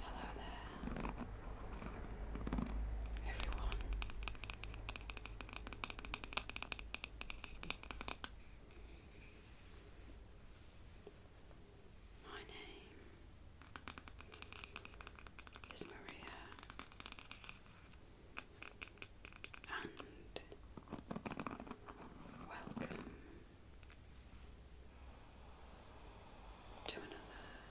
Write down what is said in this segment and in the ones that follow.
Hello there, everyone. My name is Maria, and welcome to another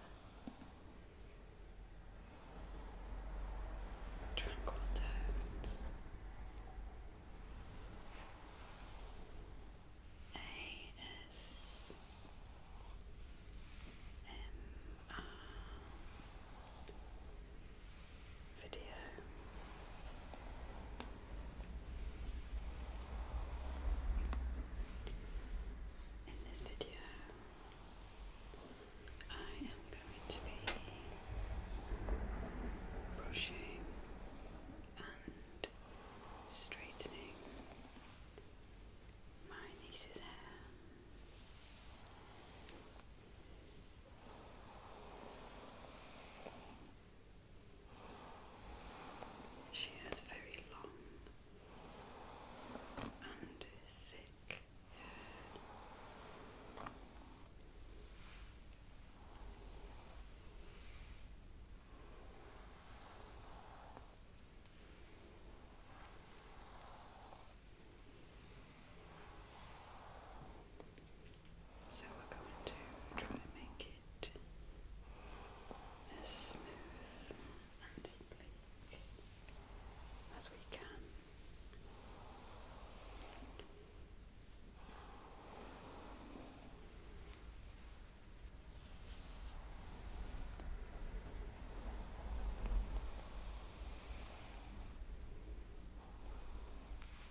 tranquil tones. AS video. In this video, I am going to be brushing and straightening my niece's hair. She has very long and thick hair. So we're going to try and make it as smooth and sleek as we can.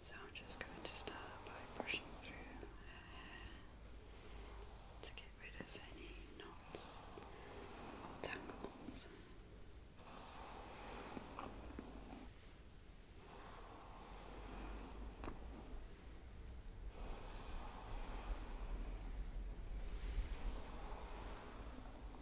So I'm just going to start by brushing through her hair to get rid of any knots or tangles.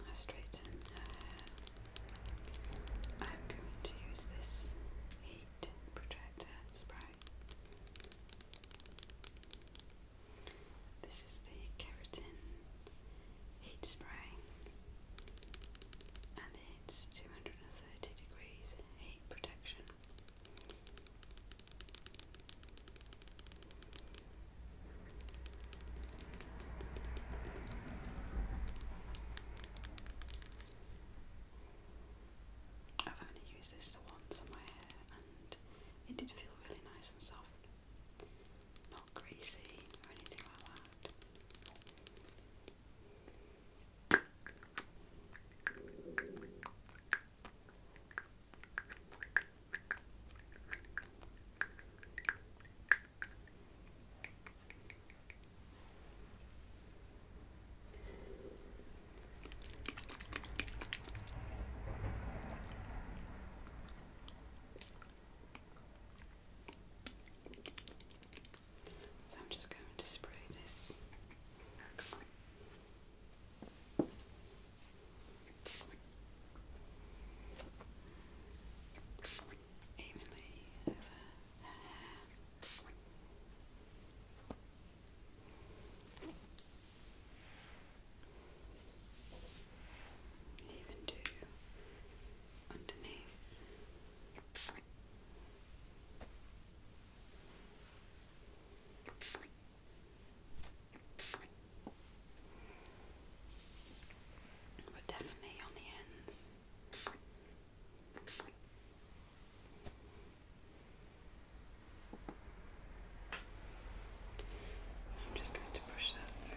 I straighten her hair. I'm going to use this heat protector spray. This is the keratin heat spray and it's 230 degrees heat protection. I've only used this the once on my hair and it did feel really nice and soft. Not greasy or anything like that. So I'm just going to spray this evenly over Even to underneath but definitely on the ends. I'm just going to push that through.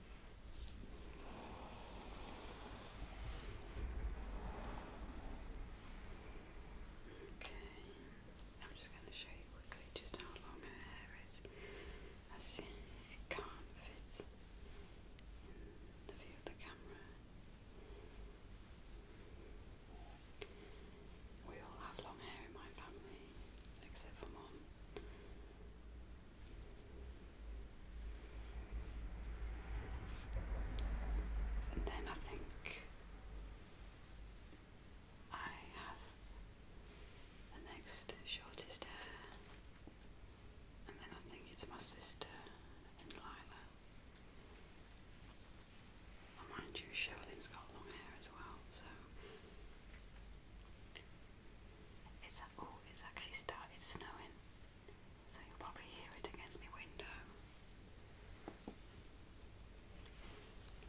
Okay, I'm just going to show you quickly just how long her hair is. As it can't fit in the view of the camera. We all have long hair in my family, except for mum. And then I think I have the next shortest hair, and then I think it's my sister and Lila. mind you, Sherilyn's got long hair as well, so it's actually started snowing. So you'll probably hear it against my window.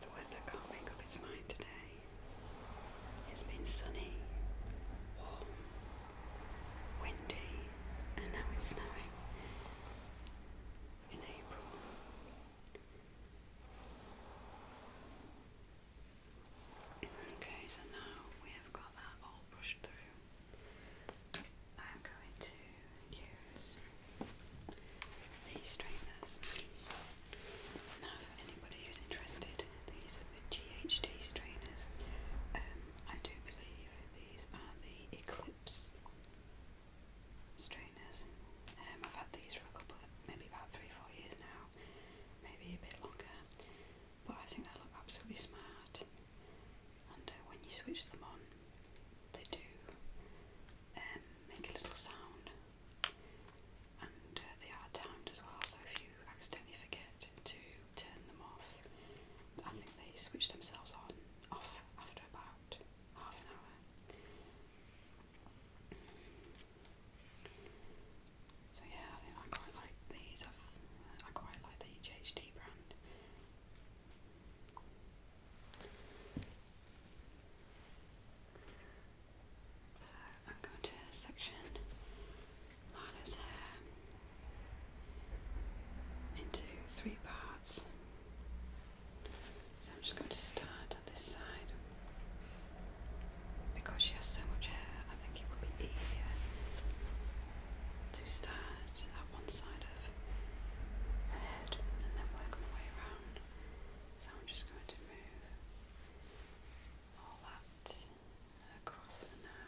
The weather can't make up its mind today. It's been sunny, warm, windy, and now it's snowing in April. Okay, so now we have got that all brushed through. I'm going to use these straighteners. Now, for anybody who's interested, these are the GHD strainers. Um, I do believe these are the Eclipse strainers. Um, I've had these for maybe about three four years now, maybe a bit longer but I think they look absolutely smart. And uh, when you switch them on, they do um, make a little sound, and uh, they are timed as well. So if you accidentally forget to turn them off, I think they switch themselves on off after about half an hour. So yeah, I quite like these. i quite like the HHD brand. So I'm going to section Lila's hair into three parts. So I'm just going to start at this side because she has so much hair. I think it would be easier to start at one side of head and then work my way around. So I'm just going to move all that across for now.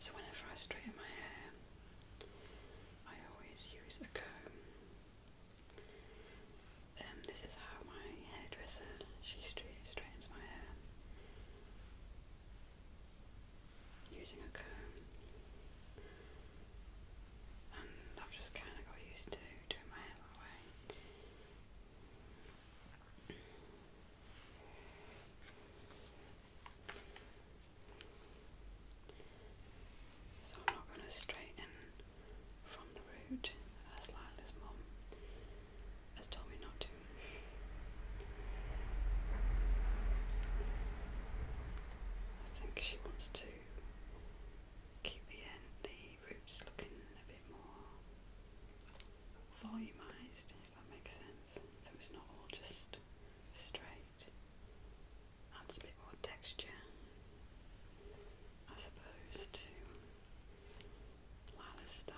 So, whenever I straighten my hair, I always use a comb. Um, this is how my hairdresser she straightens my hair using a comb. I've just kind of got used to doing my hair that way. So I'm not going to straighten from the root as Lila's mum has told me not to. I think she wants to keep the end, the roots looking a bit more volumized, if that makes sense. So it's not all just straight. Adds a bit more texture, I suppose, to Lala's style.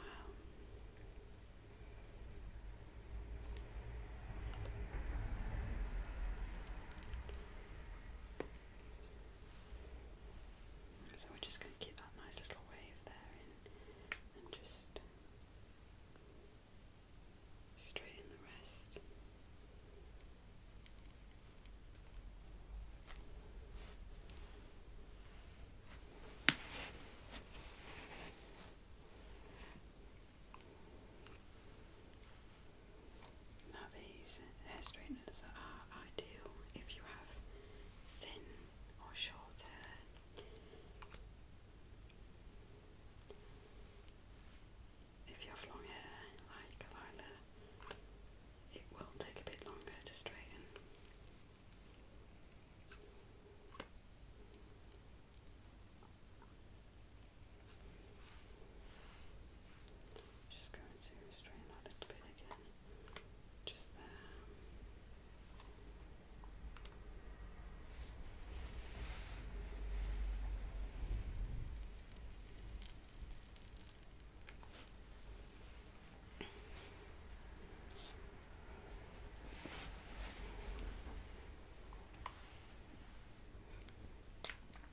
So we're just going to keep that nice little wave there and just straighten the rest. Now these hair straighteners are ideal if you have thin or short hair. If you have long hair like Lila, it will take a bit longer to straighten. Just going to straighten that little bit again. Just there.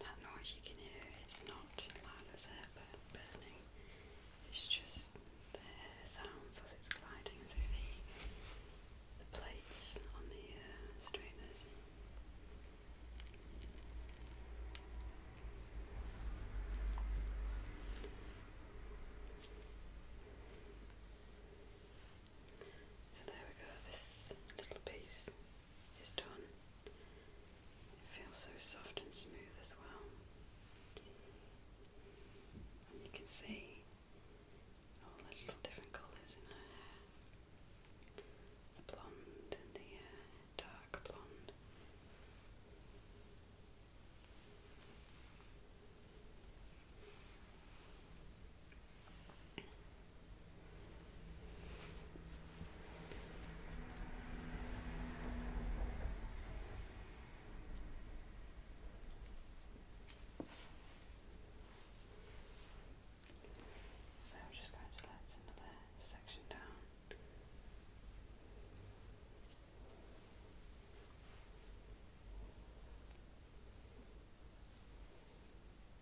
That noise you can hear is not Lila's hair burning, it's just the sounds as it's gliding through the, plates on the uh, strainers. So there we go, this little piece is done. It feels so soft and smooth as well. you can see all the little different colours in her hair. The blonde and the uh, dark blonde. So I'm just going to let another section down.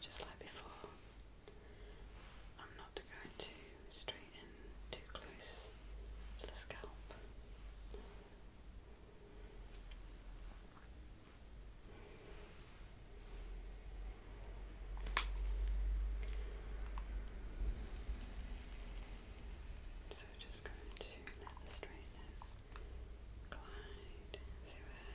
just like before. I'm not going to straighten too close to the scalp. So just going to let the straightness glide through her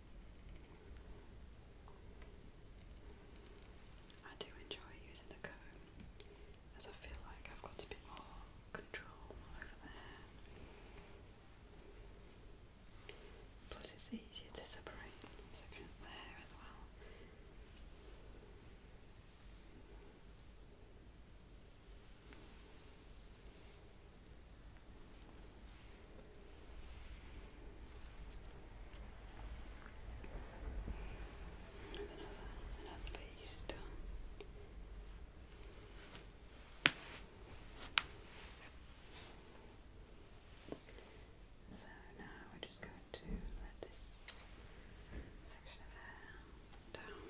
I do enjoy using a comb as I feel like I've got a bit more control over the hair. Plus, it's easier to separate sections of the hair as well. I Another, another So now we're just going to let this section of hair down.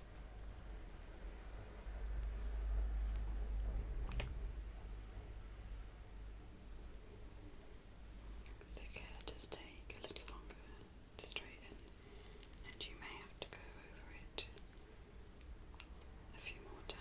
The curtains take a little longer to straighten, and you may have to go over it a few more times.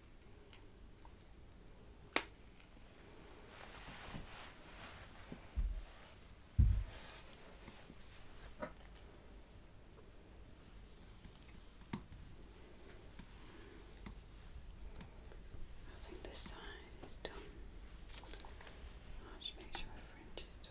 I think this side is done. I'll make sure my fringe is done.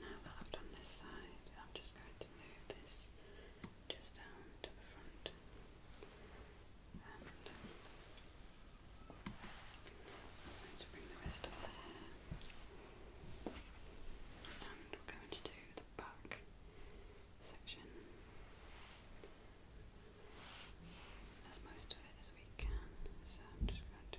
Now that I've done this side, I'm just going to move this just down to the front and I'm bring the rest of the and we're going to do the back section as most of it as we can so I'm just going to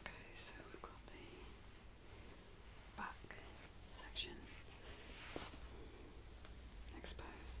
Okay, so we've got the back section exposed.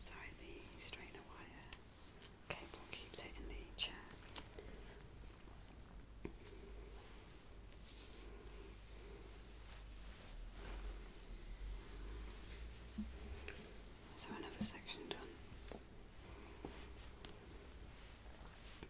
Sorry, the strainer wire cable keeps it the chair. So another section done.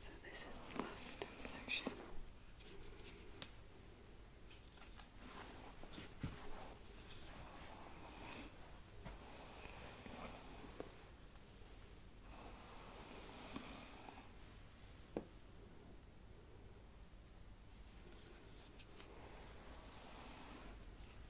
So, this is the last section.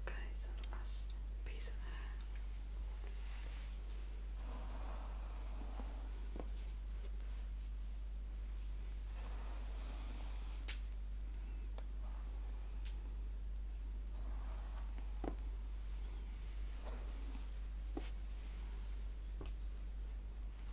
Okay, so last piece of hair.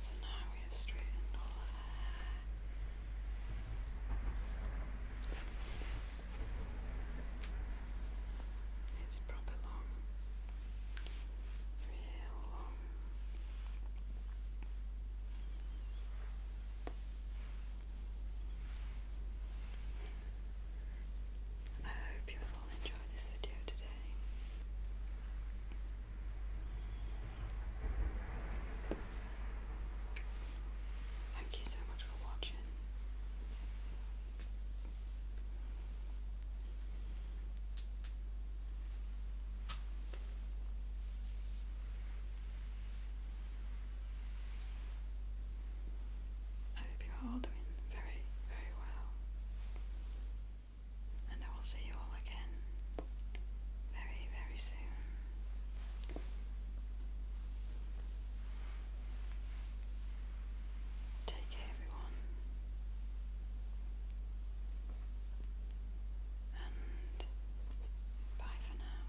So now we have straightened all of our It's proper long. I hope you all enjoyed this video today. Thank you so much for watching. I hope you're all doing very, very well. And I will see you all again very, very soon. Take care, everyone and bye for now.